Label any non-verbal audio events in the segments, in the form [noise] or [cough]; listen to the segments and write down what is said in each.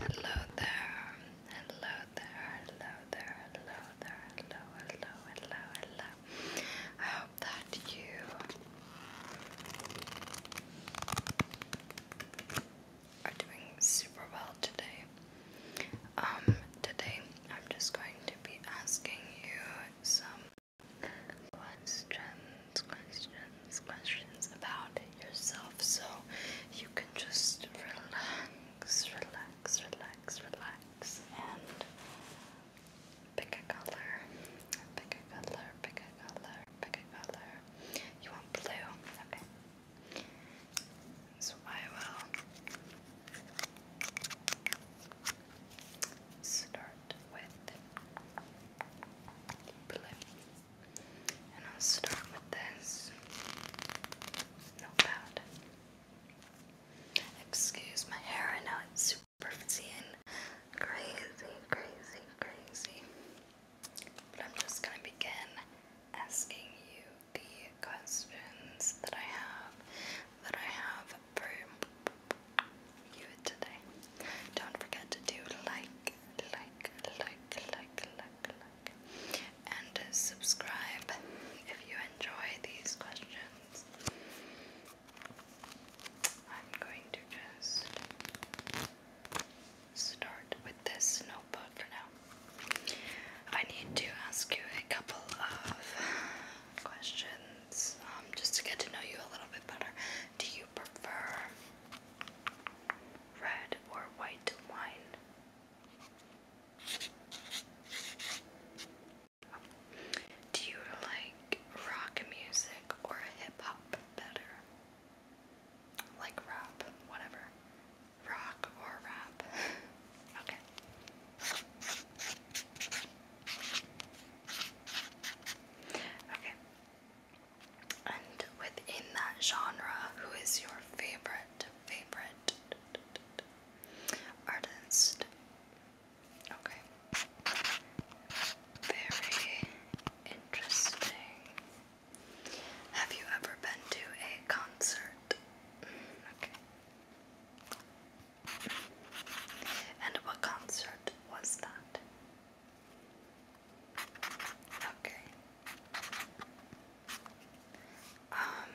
Hello there, hello there, hello there, hello there, hello, hello, hello, hello. I hope that you are doing super well today. Um, today I'm just going to be asking you some questions, questions, questions about yourself so you can just relax, relax, relax, relax, and pick a color, pick a color, pick a color, pick a color. You want blue? Okay. So I will start with and I'll start with this notepad. Excuse my hair, I know it's super frizzy and crazy, crazy, crazy. But I'm just gonna begin asking you the questions that I have that I have for today. Don't forget to do like, like, like, like, like, like, and subscribe if you enjoy these questions. I'm going to just start with this notebook for now. I need to ask you a couple of questions um, just to get to know you a little bit better. Do you prefer red or white wine? Do you like rock music or hip hop better? Like rap, whatever. Rock or rap. [laughs] okay. Okay. And within that genre, who is your favorite, favorite artist? Okay. Very interesting. Have you ever been to a concert? Mm, okay. And what concert was that? Okay. Um,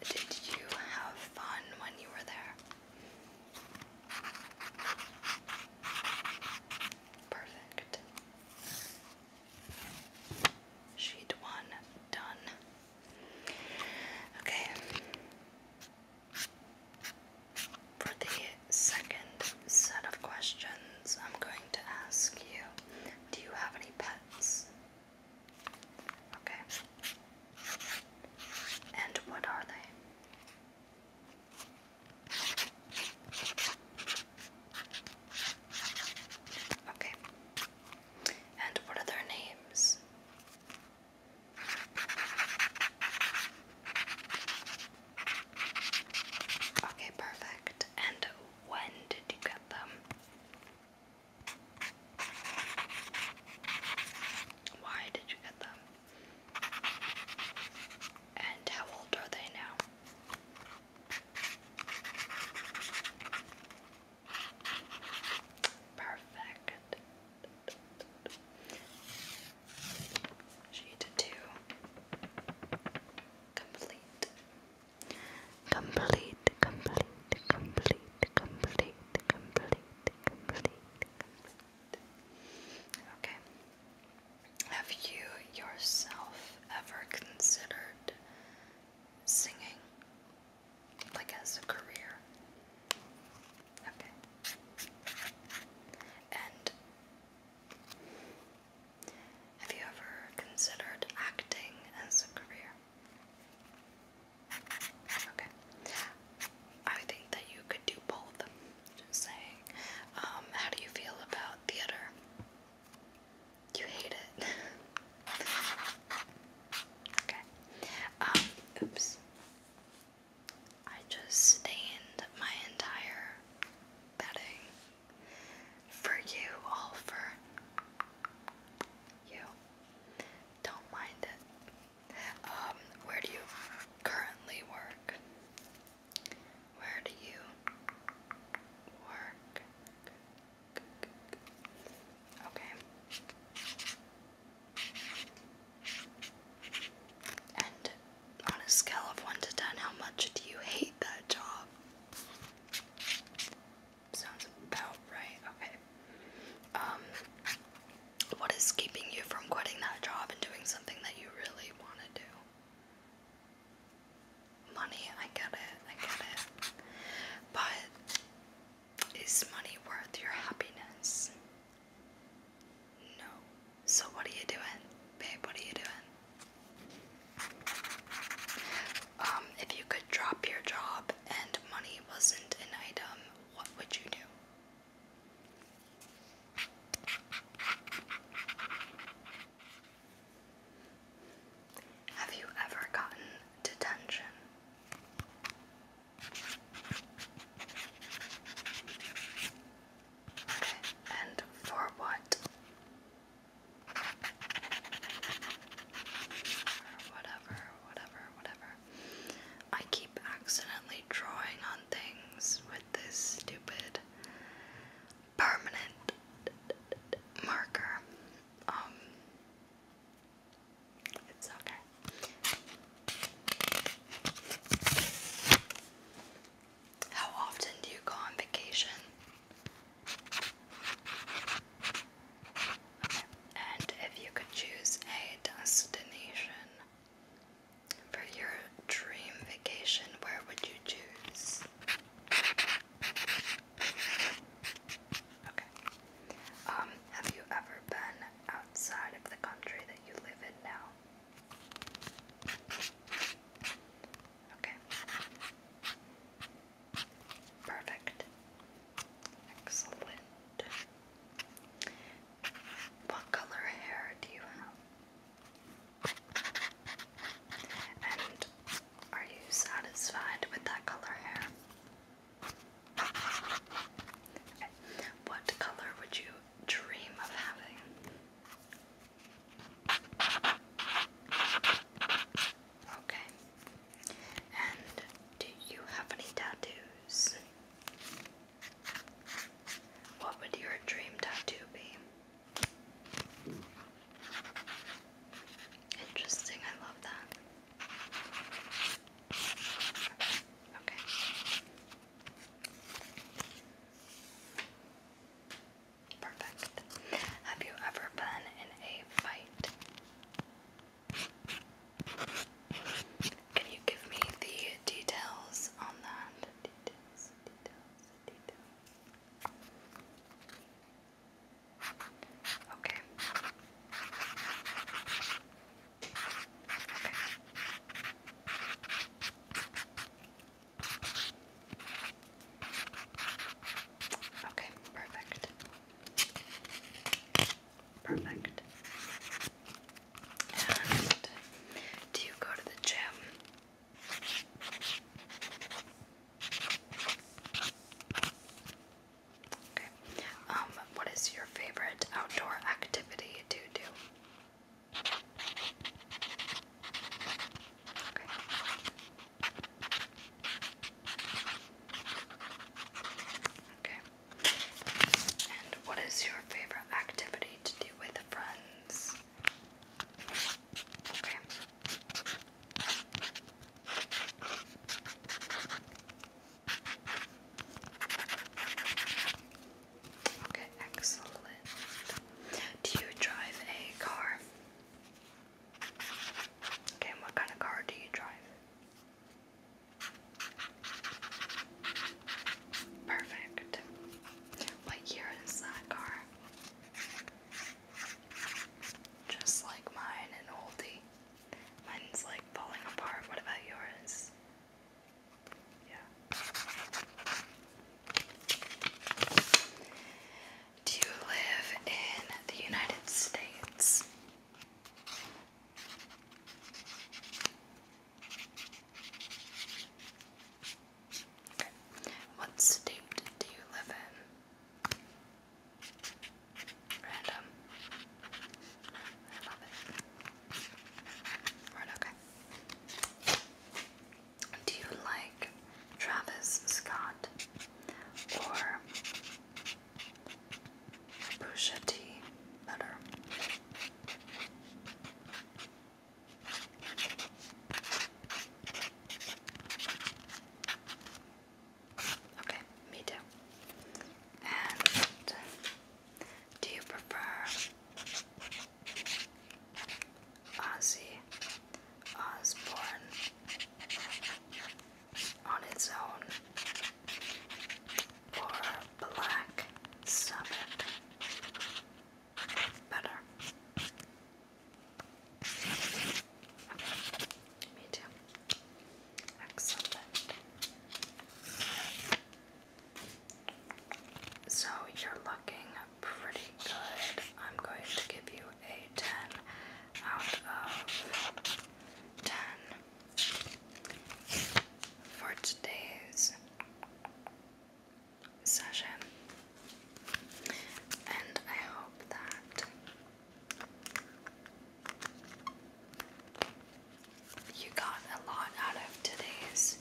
did you have fun when you were there? Perfect. Sheet one done. Okay. For the second set of questions, I'm going to ask you Do you have any pets? Okay. And what are they? Okay. And what are their names? Okay, perfect. And when did you get them? Why did you get them? And how old are they now? Perfect. Shade two. Complete. Complete, complete, complete, complete, complete, complete, complete. Okay. Have you yourself ever considered singing? Like as a career? Okay. And have you ever considered acting as a career? Okay. I think that you could do both. Just saying. Um, how do you feel about theater? You hate it. [laughs] okay. Um, oops. I just stained my entire bedding for you, all for you. Don't mind it. Um, where do you currently work? Where do you work? Okay. And on a scale of 1 to 10, how much do you hate that job? Sounds about right. Okay. Um, what is keeping you from quitting that job and doing something that you really want to do? Money, I get it, I get it. But is money worth your happiness? No. So what are you doing? Babe, what are you doing? Um, if you could drop your job and money wasn't an item, what would you do? Have you ever gotten detention? and for what? Whatever, whatever, whatever. I keep accidentally drawing on things with this stupid permanent marker. Um, how often do you go on vacation? And if you could choose a destination for your dream vacation, where would you choose? Okay. Um, have you ever been outside of the country that you live in now? Okay. Perfect. Excellent. What color hair do you have? And are you satisfied with that color hair? What color would you dream of having? Okay. And do you have any tattoos? What would your dream tattoo be? Interesting, I love that. Okay. Perfect. Have you ever been in a fight? Can you give me the details on that? Okay. Okay, perfect. Perfect. And do you go to the gym? Okay. Um, what is your favorite outdoor activity to do? Okay. Okay. And what is your favorite activity to do with friends? Okay. Okay, excellent. Do you drive a car? Okay, and what kind of car do you drive? Perfect. What year is that car? Just like mine, an oldie. Mine's like falling apart. What about yours? Yeah. Do you live in the United States? Okay. What state do you live in? Random. I love it. Right, okay. Do you like Travis Scott or Pusha T better? Okay, me too. And do you prefer Ozzy Osbourne on its own or Black Sabbath? Better. me too. Excellent. So you're looking pretty good. I'm going to give you a 10 out of 10 for today's session. And I hope that you got a lot out of today's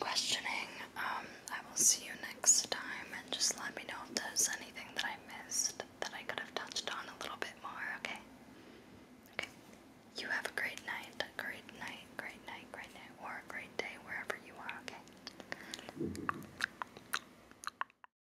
questioning. Um, I will see you next time and just let me know if there's anything that I missed that I could have touched on a little bit more, okay? Okay. You have a great night, a great night, great night, great night, or great day wherever you are, okay?